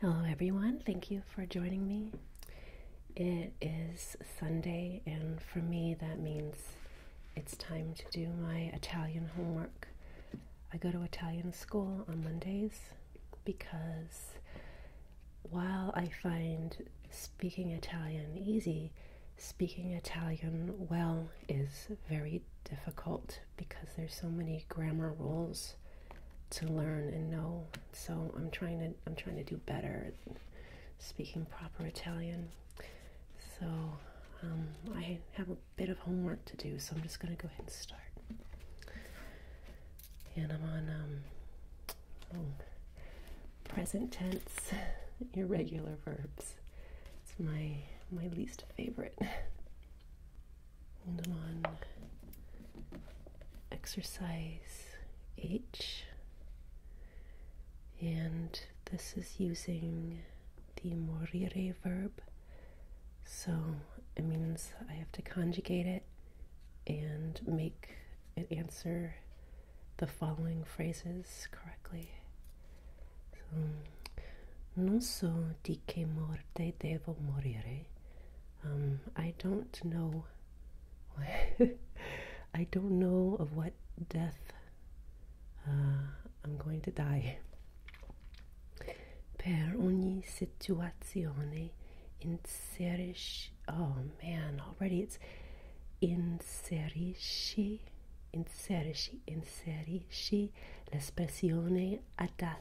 Hello, everyone. Thank you for joining me. It is Sunday, and for me, that means it's time to do my Italian homework. I go to Italian school on Mondays because while I find speaking Italian easy, speaking Italian well is very difficult because there's so many grammar rules to learn and know. So I'm trying to I'm trying to do better speaking proper Italian. So um, I have a bit of homework to do, so I'm just going to go ahead and start. And I'm on um, oh, present tense, irregular verbs. It's my my least favorite. and on exercise H, and this is using the morire verb, so it means I have to conjugate it and make it answer the following phrases correctly. Non so di che morte devo morire. Um, I don't know. I don't know of what death uh, I'm going to die. Per ogni situazione inserisci. Oh man, already it's inserisci, inserisci, inserisci l'espressione adatta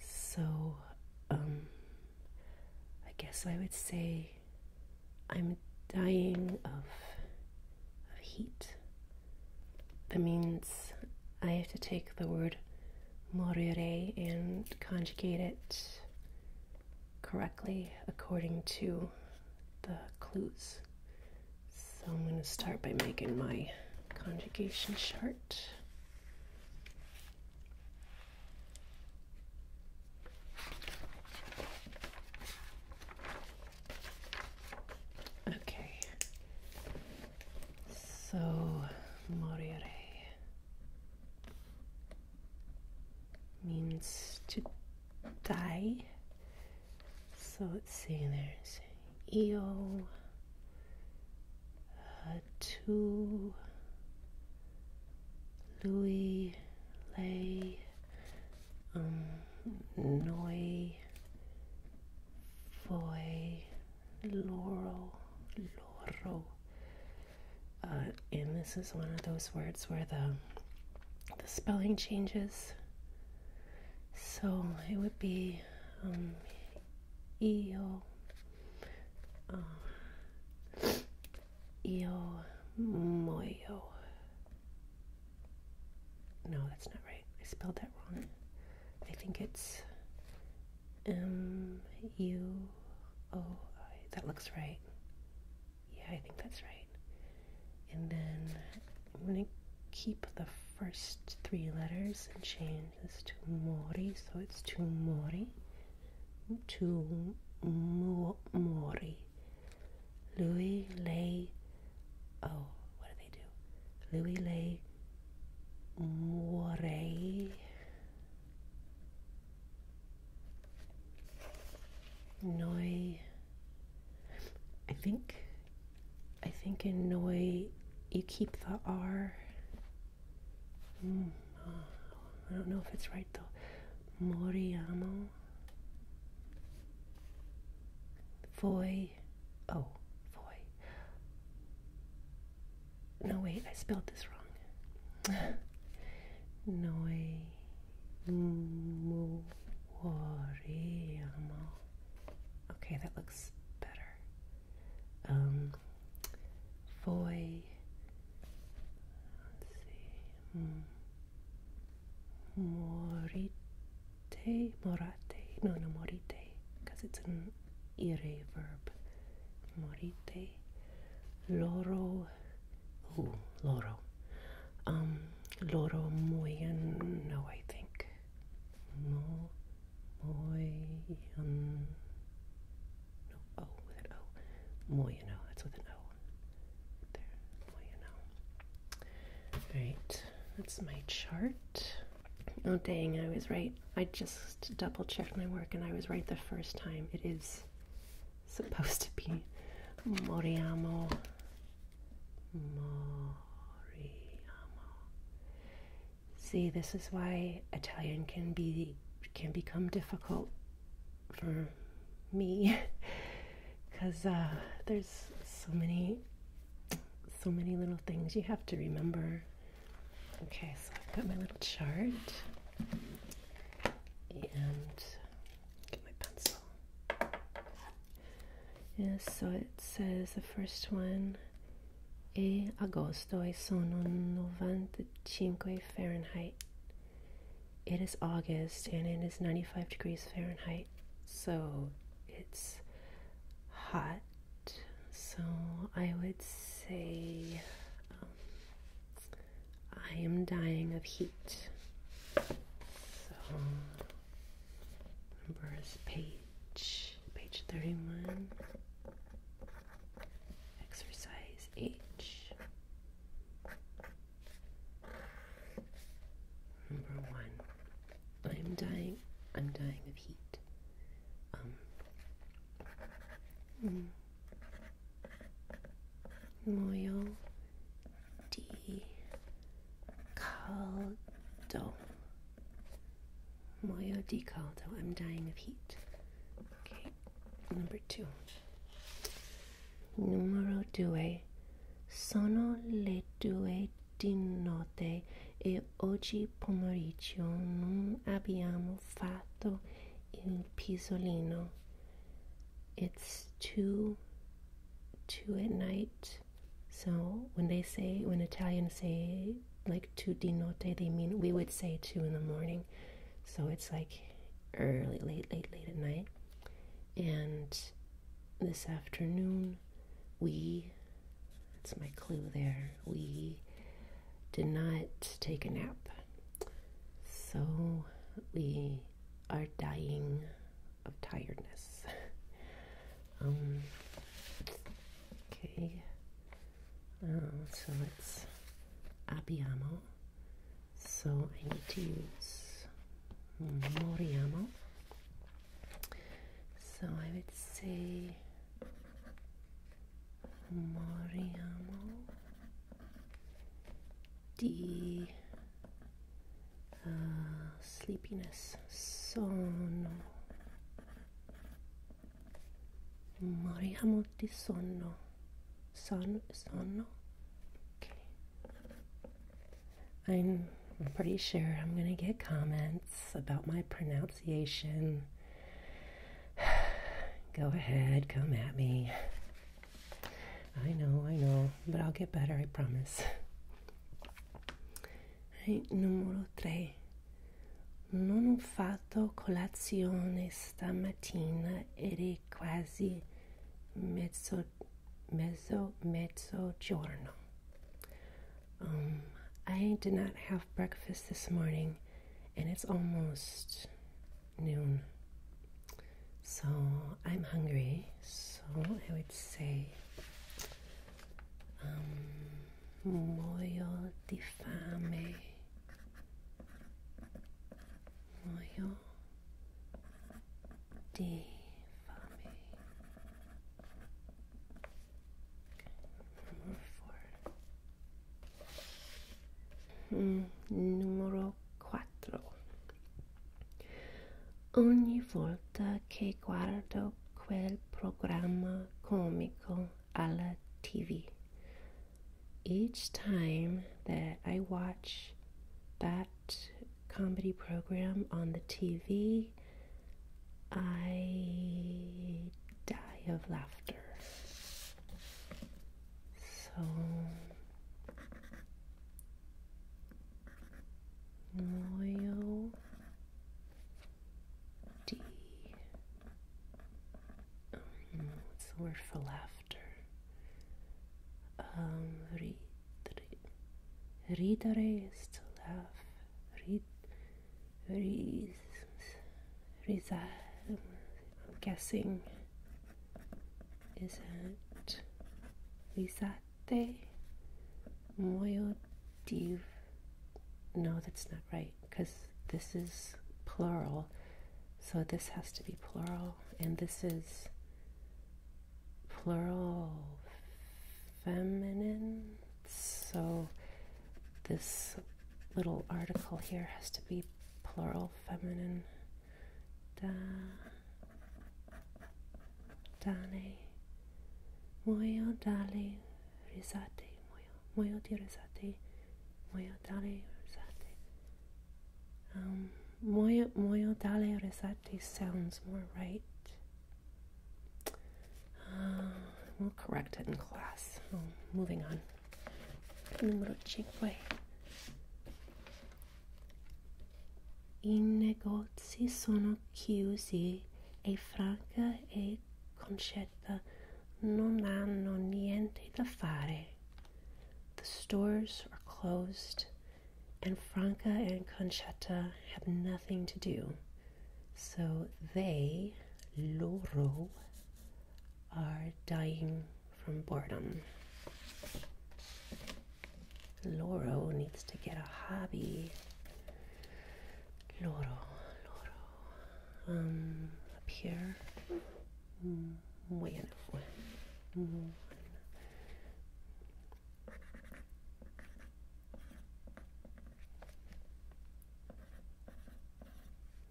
So, um, I guess I would say I'm dying of heat. That means I have to take the word morire and conjugate it correctly according to the clues. So I'm going to start by making my conjugation chart. Okay. So, Moriare means to die. So let's see, there's Eo, to Louis Lay um, Noi Foy Laurel Laurel uh, and this is one of those words where the the spelling changes so it would be um, uh, No, that's not right. I spelled that wrong. I think it's M U O. That looks right. Yeah, I think that's right. And then I'm going to keep the first three letters and change this to mori, so it's to mori, to mori. Louis lay, oh, what do they do? Louis lay mori. Noi, I think, I think in Noi you keep the R Mm. I don't know if it's right though. Moriamo. Foy. Oh, Foy. No, wait, I spelled this wrong. Noi. Moriamo. Okay, that looks better um, Foy. Let's see. Mm. Morite, morate. No, no, morite, because it's an ire verb. Morite. Loro. Ooh, loro. Um, loro muoien. No, I think. No. Moyen. Oh, no, O with an O. Moyano. That's with an O. Right there. Moyano. Alright, that's my chart. Oh, dang, I was right. I just double checked my work and I was right the first time. It is supposed to be Moriamo. Moriamo. See, this is why Italian can be can become difficult for me because uh, there's so many so many little things you have to remember. Okay, so I've got my little chart and get my pencil. Yes, so it says the first one e agosto e sono 95 Fahrenheit. It is August and it is 95 degrees Fahrenheit, so it's hot. So I would say um, I am dying of heat. So number is page page 31. Exercise H. Number one, I'm dying. I'm dying of heat. Um. Mm, moyo caldo Mio Decal, though I'm dying of heat. Okay, number two. Numero due. Sono le due di notte e oggi pomeriggio non abbiamo fatto il pisolino. It's two, two at night. So when they say, when Italians say like to di notte, they mean we would say two in the morning, so it's like early, late, late, late at night. And this afternoon, we that's my clue there we did not take a nap, so we are dying of tiredness. Um, okay. Oh, so it's abbiamo. So I need to use moriamo. So I would say moriamo di uh, sleepiness. Sono Maria Motti Sonno. Son, sonno? I'm pretty sure I'm going to get comments about my pronunciation. Go ahead, come at me. I know, I know, but I'll get better, I promise. Right, numero tre. Non ho fatto colazione stamattina ed è quasi mezzo, mezzo, mezzogiorno. Um, I did not have breakfast this morning and it's almost noon. So I'm hungry. So I would say um, muoio di fame, muoio di fame. Numero 4. Mm, numero 4. Ogni volta che guardo quel Programma cômico alla TV. Each time that I watch that comedy program on the TV, I die of laughter. So, Moyo D. what's the word for laughter? Um, ridere. Ridere to laugh. Rid, ris, risa. Um, I'm guessing. Is it risate? moyo No, that's not right because this is plural. So this has to be plural. And this is plural feminine. So this little article here has to be plural feminine. Da, dane, moyo dali, rezate, moja, moja ti rezate, moja dalej um, rezate. sounds more right. Uh, we'll correct it in class. Oh, moving on. Numero cinque. I negozi sono chiusi e Franca e Concetta non hanno niente da fare. The stores are closed, and Franca and Concetta have nothing to do. So they, loro, are dying from boredom. Loro needs to get a hobby loro, loro. Um, up here. Bueno, bueno.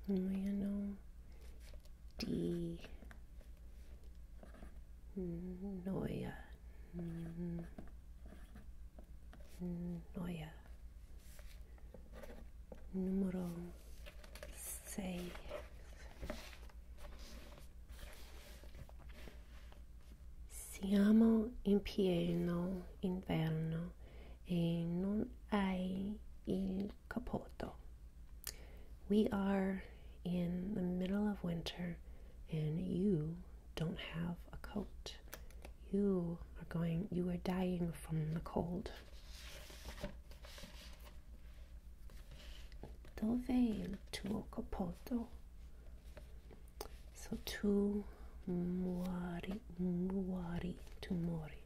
Bueno. D. Noia. Mm. Noia número sei. Siamo in pieno inverno e non hai il capotto. We are in the middle of winter and you don't have a coat. You are going, you are dying from the cold. Dove il tuo So two muori, muori, tu muori.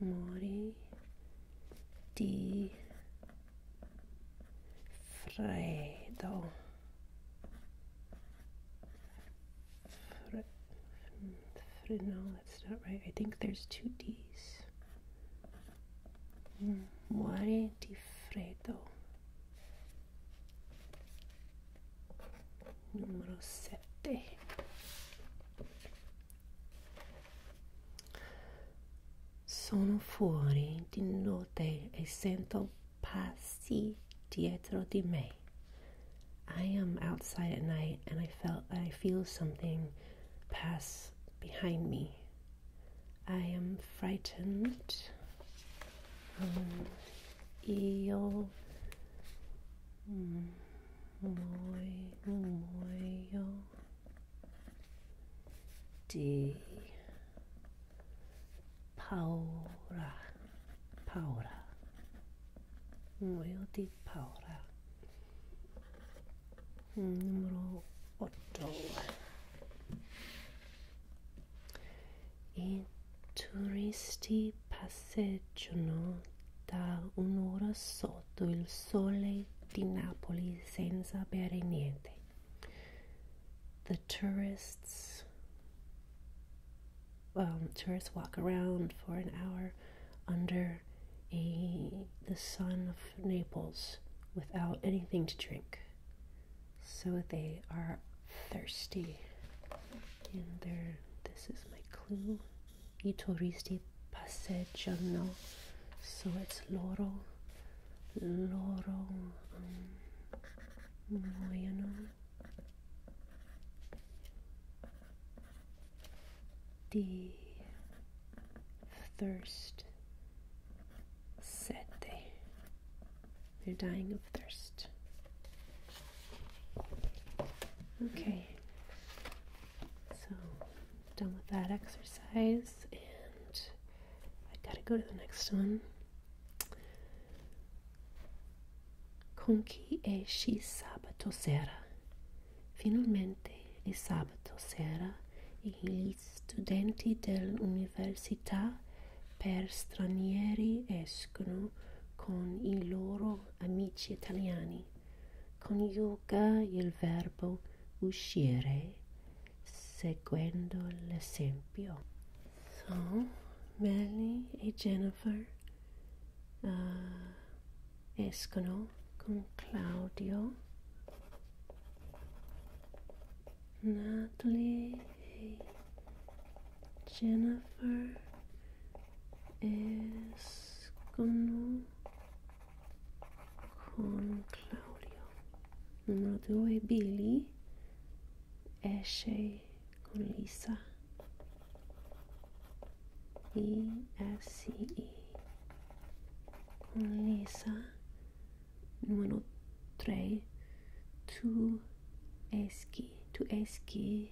Mori di Fredag. Fre no, that's not right. I think there's two D's. Mm, Muore di freddo. Numero sette. Sono fuori di notte e sento passi dietro di me. I am outside at night and I felt I feel something pass behind me. I am frightened. Um, io mm, di paura, paura, muoio di paura. Numero 8. I turisti passeggiano da un'ora sotto il sole di Napoli senza bere niente. the tourists tourists walk around for an hour under a the sun of Naples without anything to drink so they are thirsty and they this is my clue i turisti passeggiano so it's loro loro vogliono di thirst sette they're dying of thirst okay so done with that exercise and I gotta go to the next one. Con chi esci sabato sera? Finalmente è sabato sera gli studenti dell'università per stranieri escono con i loro amici italiani. Coniuga il verbo uscire seguendo l'esempio. So, Melly y Jennifer ah, escono con Claudio. Natalie y Jennifer escono con Claudio. Numero 2 Billy esce con Lisa. I S E con Lisa. Numero 3 tu esci, tu esci.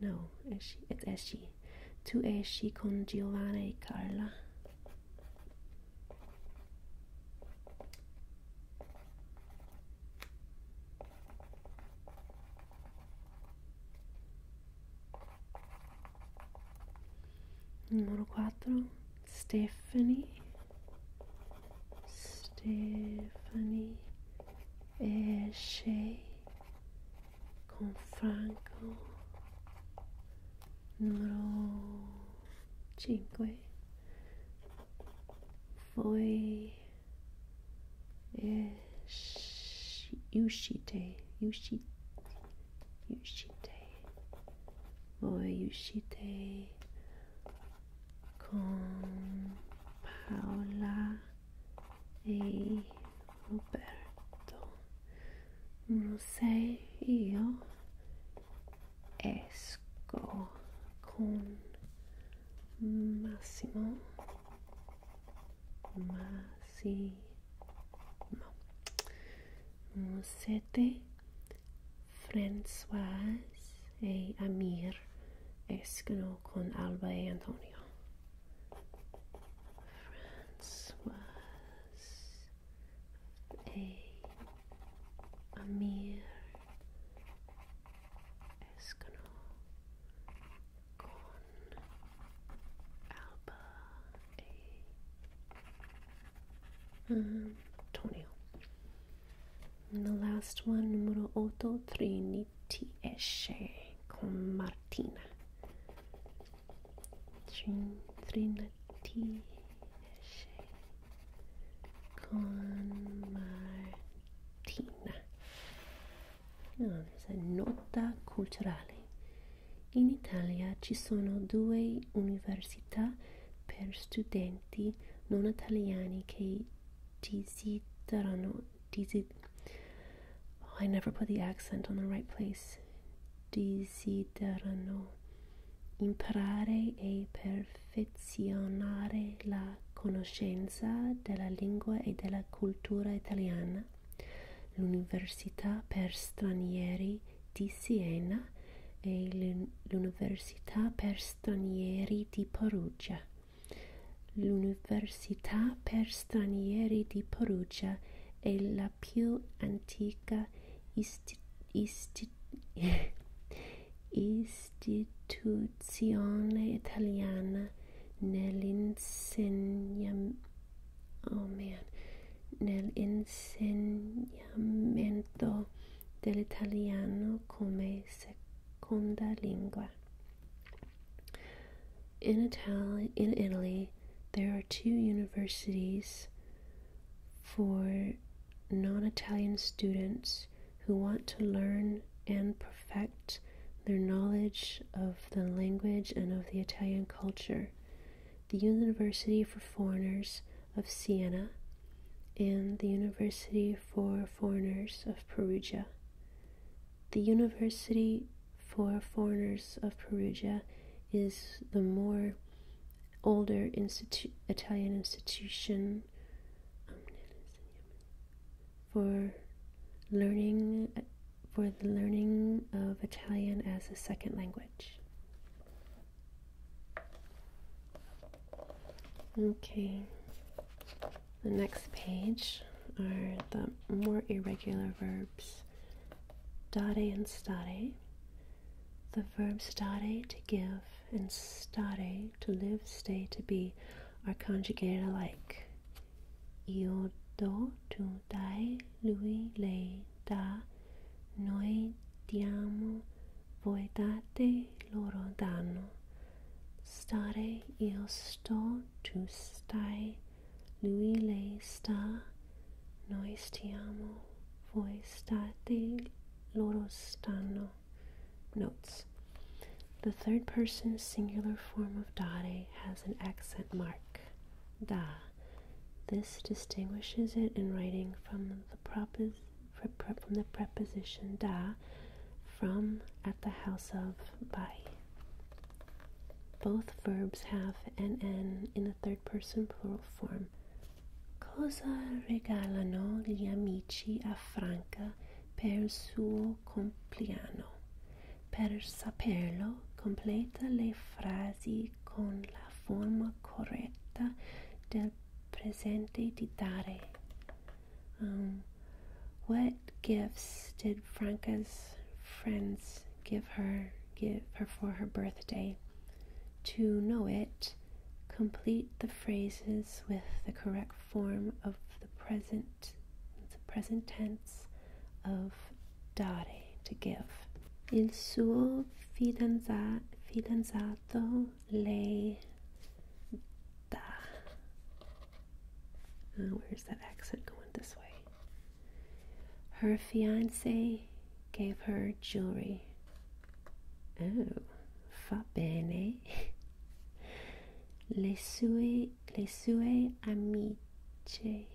No, esci, esci. Tu esci con Giovanni e Carla. numero 4 Stephanie Stephanie e Shay con Franco numero 5 voi uscite uscite uscite voi uscite con Paola e Roberto sé, io esco con Massimo Massimo te. Françoise e Amir escono con Alba y e Antonio François... a, a mere escano con alba a Antonio. Um, and the last one, numero otto Trinity esce con Martina. Trinity con Martina. No, there's a nota culturale. In Italy, there are two universities for studenti non italiani che desiderano. Desi- oh, I never put the accent on the right place. desiderano imparare e perfezionare la conoscenza della lingua e della cultura italiana, l'Università per stranieri di Siena e l'Università per stranieri di Perugia. L'Università per stranieri di Perugia è la più antica istituzione italiana oh nell'insegnamento oh dell'italiano come seconda lingua. In, Itali- in Italy, there are two universities for non Italian students who want to learn and perfect their knowledge of the language and of the Italian culture. The University for Foreigners of Siena and the University for Foreigners of Perugia. The University for foreigners of Perugia is the more older Italian institution for learning for the learning of Italian as a second language. Okay, the next page are the more irregular verbs verbs and stare, the verbs dare to give and stare to live, stay to be are conjugated alike. Io do, tu dai, lui, le dà, noi diamo, voi date, loro danno. Stare, io sto, tu stai, lui lei sta, noi stiamo, voi state, loro stanno. Notes. The third person singular form of dare has an accent mark, da. This distinguishes it in writing from the preposition da from at the house of by. Both verbs have an n in the third person plural form. Cosa regalano gli amici a Franca per il suo compleanno? Per saperlo, completa le frasi con la forma corretta del presente di dare. Um, what gifts did Franca's friends give her give her for her birthday. To know it, complete the phrases with the correct form of the present the present tense of dare to give. Il suo fidanzato lei da. Uh, where's that accent going this way? Her fiance gave her jewelry. Oh, fa bene. Le sue, le sue amiche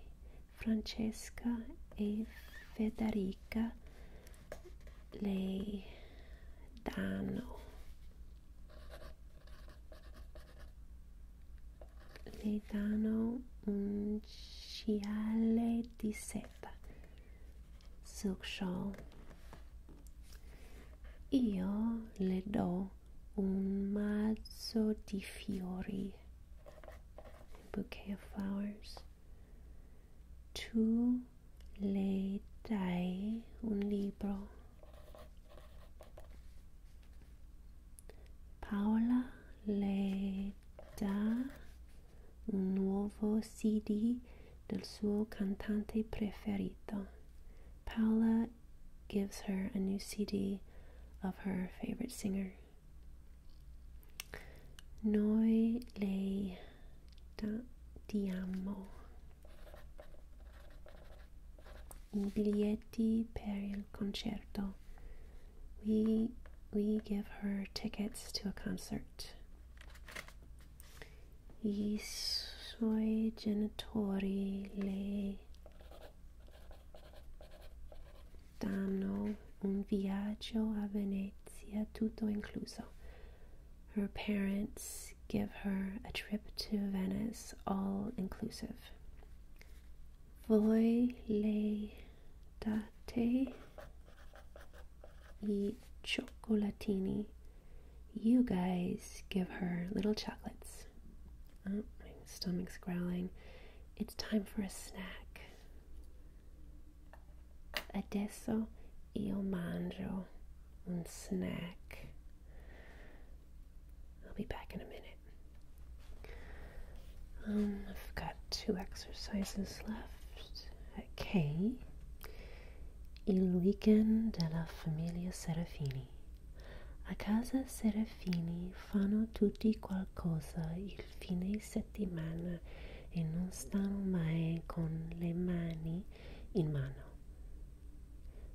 Francesca e Federica le danno le danno un scialle di seta silk shawl io le do un mazzo di fiori bouquet of flowers tu le dai un libro Paola le dà un nuovo CD del suo cantante preferito. Paola gives her a new CD of her favorite singer. Noi le da- diamo i biglietti per il her concerto. We we give her tickets to a concert. I suoi genitori le danno un viaggio a Venezia tutto incluso. Her parents give her a trip to Venice all inclusive. Voiledate e cioccolatini. You guys give her little chocolates. Oh, my stomach's growling. It's time for a snack. Adesso io mangio un snack. I'll be back in a minute. Um, I've got two exercises left. Okay. Il weekend della famiglia Serafini. A casa Serafini fanno tutti qualcosa il fine settimana e non stanno mai con le mani in mano.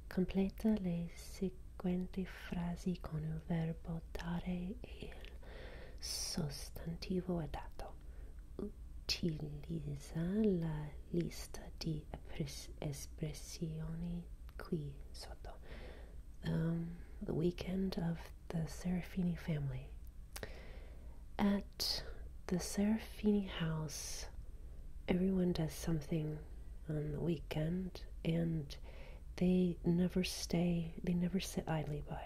Completa le Quante frasi con il verbo dare e il sostantivo dato. Utilizza la lista di espressioni qui sotto. Um, the weekend of the Serafini family. At the Serafini house, everyone does something on the weekend and they never stay, they never sit idly by.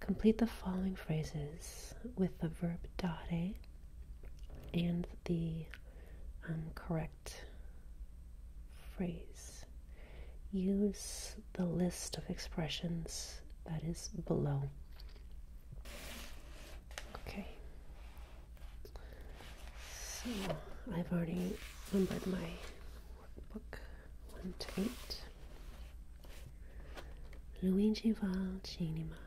Complete the following phrases with the verb dare and the um, correct phrase. Use the list of expressions that is below. Okay. So I've already numbered my workbook one to eight. Luigi va al cinema.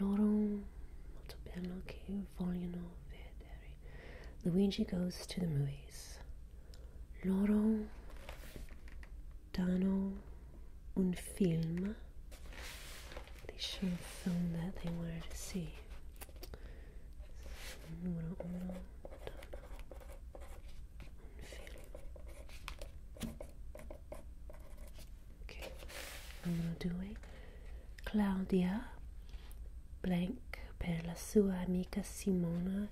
Loro molto bello che vogliono vedere. Luigi goes to the movies. Loro danno un film. They show a film that they wanted to see. 1 1 un film ok numero 2 Claudia blank per la sua amica Simona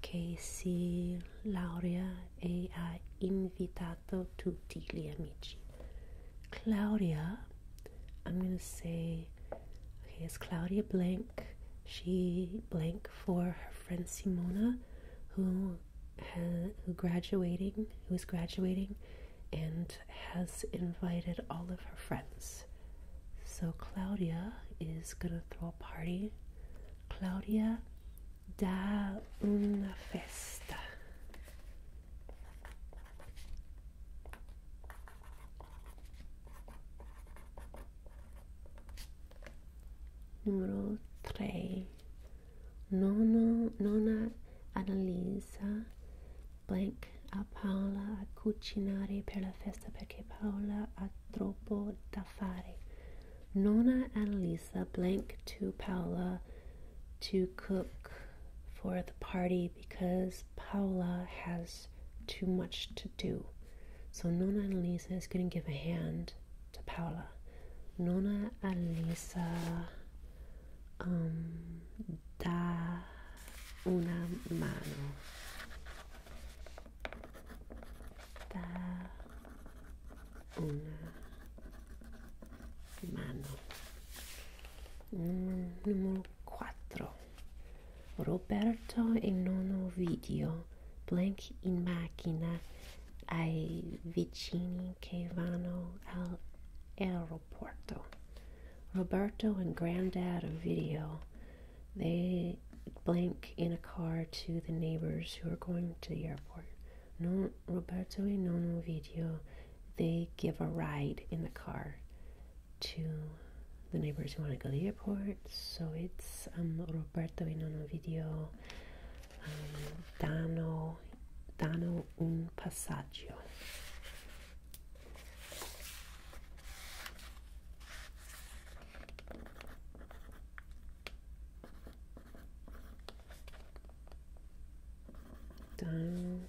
che si laurea e ha invitato tutti gli amici Claudia I'm gonna say, okay, it's Claudia Blank. She blank for her friend Simona, who who graduating, who is graduating, and has invited all of her friends. So Claudia is gonna throw a party. Claudia da una festa. Numero 3. Nono, nonna Annalisa Blank a Paola a cucinare per la festa perché Paola ha troppo da fare. Nona Annalisa Blank to Paola to cook for the party because Paula has too much to do. So Nona and Elisa is going to give a hand to Paula. Nona Elisa um, da una mano. Da una mano. Mm, Numero quattro. Roberto in nono video, blank in macchina, ai vicini che vanno all'aeroporto. Roberto and Granddad video, they blank in a car to the neighbors who are going to the airport. No, Roberto and nono video, they give a ride in the car to the neighbors who want to go to the airport. So it's um, Roberto Vinono Video um, Dano, Dano un passaggio. Dano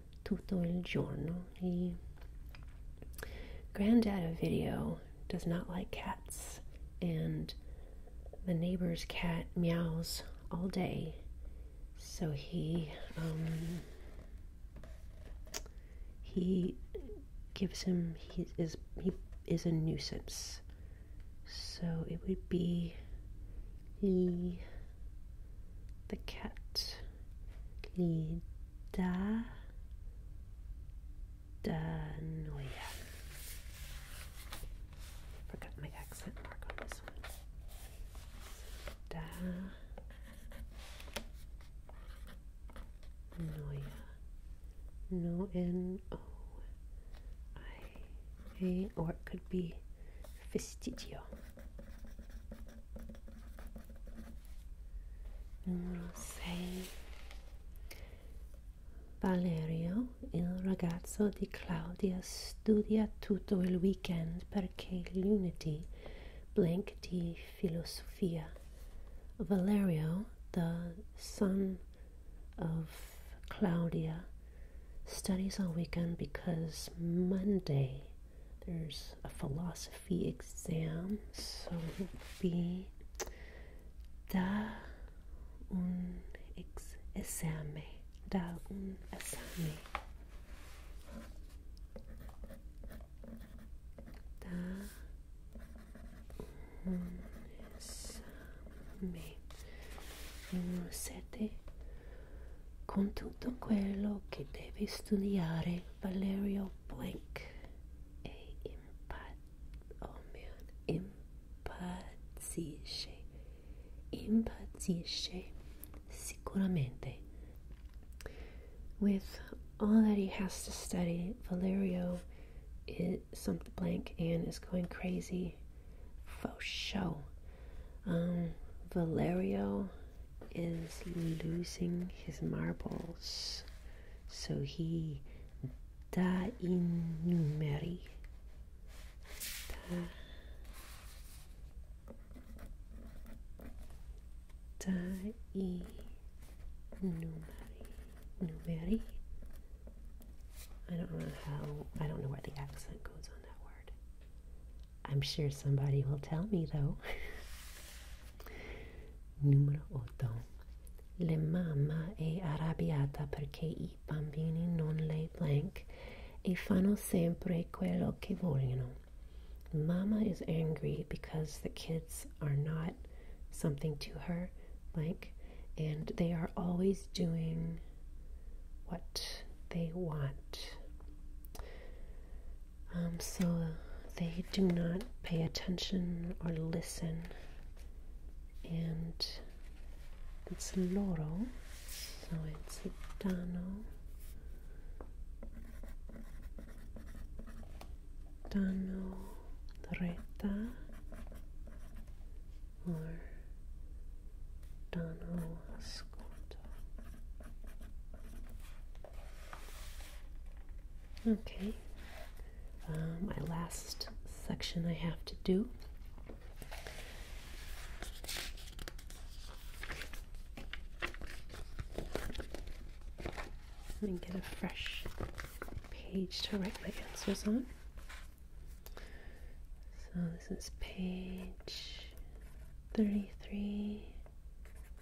tutto il giorno. He, granddad of video does not like cats, and the neighbor's cat meows all day. So he um, he gives him he is he is a nuisance. So it would be he the cat Lidanoia. Forgot my accent mark on this one. Da Noia. No N O I A or it could be Vestigia. Numero Valerio, il ragazzo di Claudia, studia tutto il weekend perché lunedì blank di filosofia. Valerio, the son of Claudia, studies all weekend because Monday there's a philosophy fee exam so it would be da un ex esame da un esame da un esame numero 7 con tutto quello che devi studiare Valerio Blank, a impat, oh man, impazzisce, impazzisce sicuramente. With all that he has to study, Valerio is something blank and is going crazy for show. Um, Valerio is losing his marbles. So he da in numeri. Da, da i numeri. I don't know how. I don't know where the accent goes on that word. I'm sure somebody will tell me though. Numero 8. La mamma è arrabbiata perché i bambini non le blank e fanno sempre quello che vogliono. Mama is angry because the kids are not something to her, blank, and they are always doing what they want. Um, so they do not pay attention or listen. And it's loro, so it's dano. Dano reta or dano ascolto. Okay, uh, my last section I have to do. Let me get a fresh page to write my answers on. So this is page 33,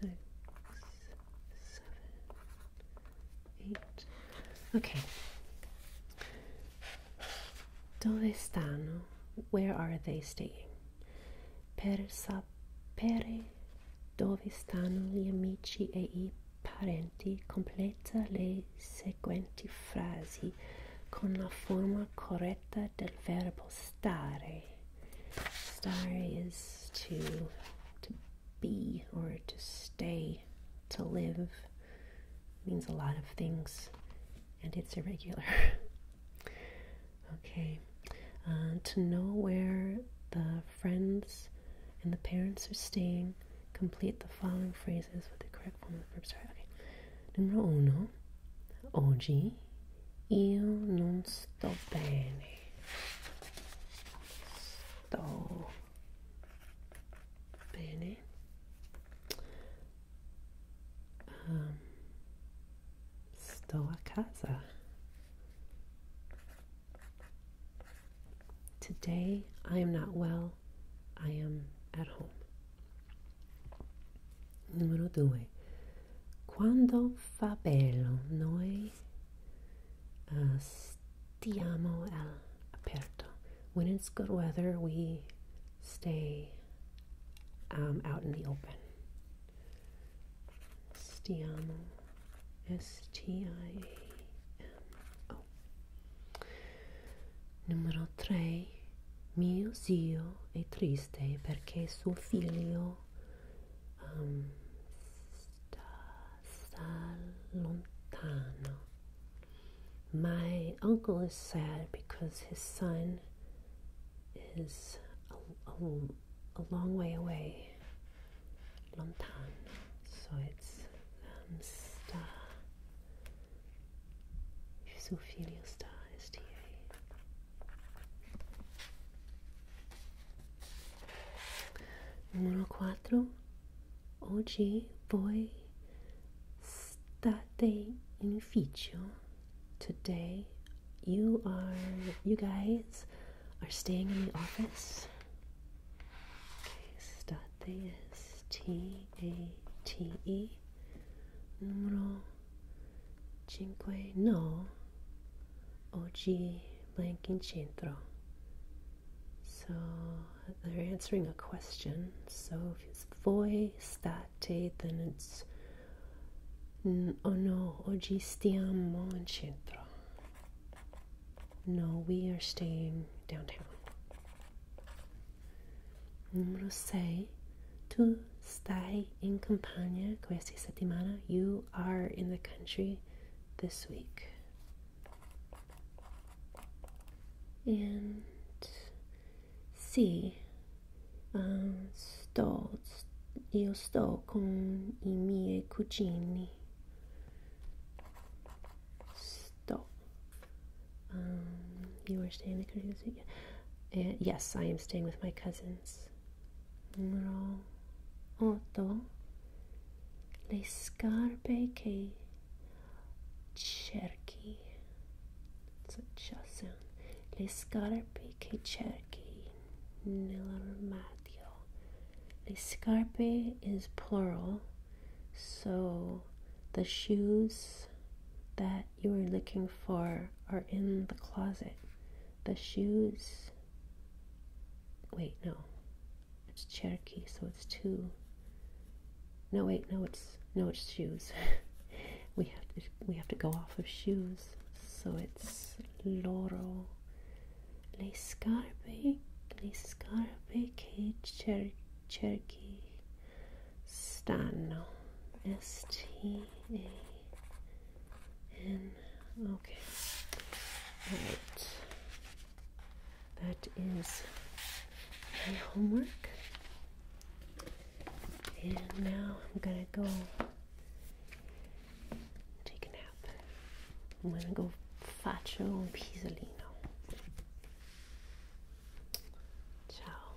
six, seven, eight. Okay. Dove stanno? Where are they staying? Per sapere dove stanno gli amici e i parenti, completa le seguenti frasi con la forma corretta del verbo stare. Stare is to, to be or to stay, to live, means a lot of things, and it's irregular. okay, uh, to know where the friends and the parents are staying, complete the following phrases with the correct form of the verb. Sorry, okay. Numero uno, oggi io non sto bene. Stole. Beanie. Um, Stoa Casa. Today I am not well. I am at home. Número 2. Quando fa bello noi uh, stiamo all'aperto. When it's good weather we stay um, out in the open. Stiamo. S-T-I-A-M-O. Numero 3. Mio zio è triste perché suo figlio um, sta, sta My uncle is sad because his son is a, long way away. Lontano. So it's um, sta. Suo figlio sta Numero 4. Oggi voi state in ufficio. Today you are you guys are staying in the office. Okay, state is T A T E. Numero 5. No. Oggi blank in centro. So they're answering a question. So if it's voi state, then it's oh no, oggi stiamo in centro. No, we are staying downtown. Numero 6. Tu stai in campagna questa settimana? You are in the country this week. And sì, um, sto, io sto con i miei cugini. Sto. Um, you are staying in the country this week? Uh, yes, I am staying with my cousins bra åt Le scarpe che cerchi. It's a cha Le scarpe che cerchi nell'armadio. Le scarpe is plural, so the shoes that you are looking for are in the closet the shoes. Wait, no. It's Cherokee, so it's two. No, wait, no, it's no, it's shoes. we have to we have to go off of shoes. So it's Loro, Le Scarpe, Le Scarpe che cer- Cherokee stanno. S T A N Okay. All right. That is my homework. And now I'm going to go take a nap. I'm going to go faccio un pisolino. Ciao.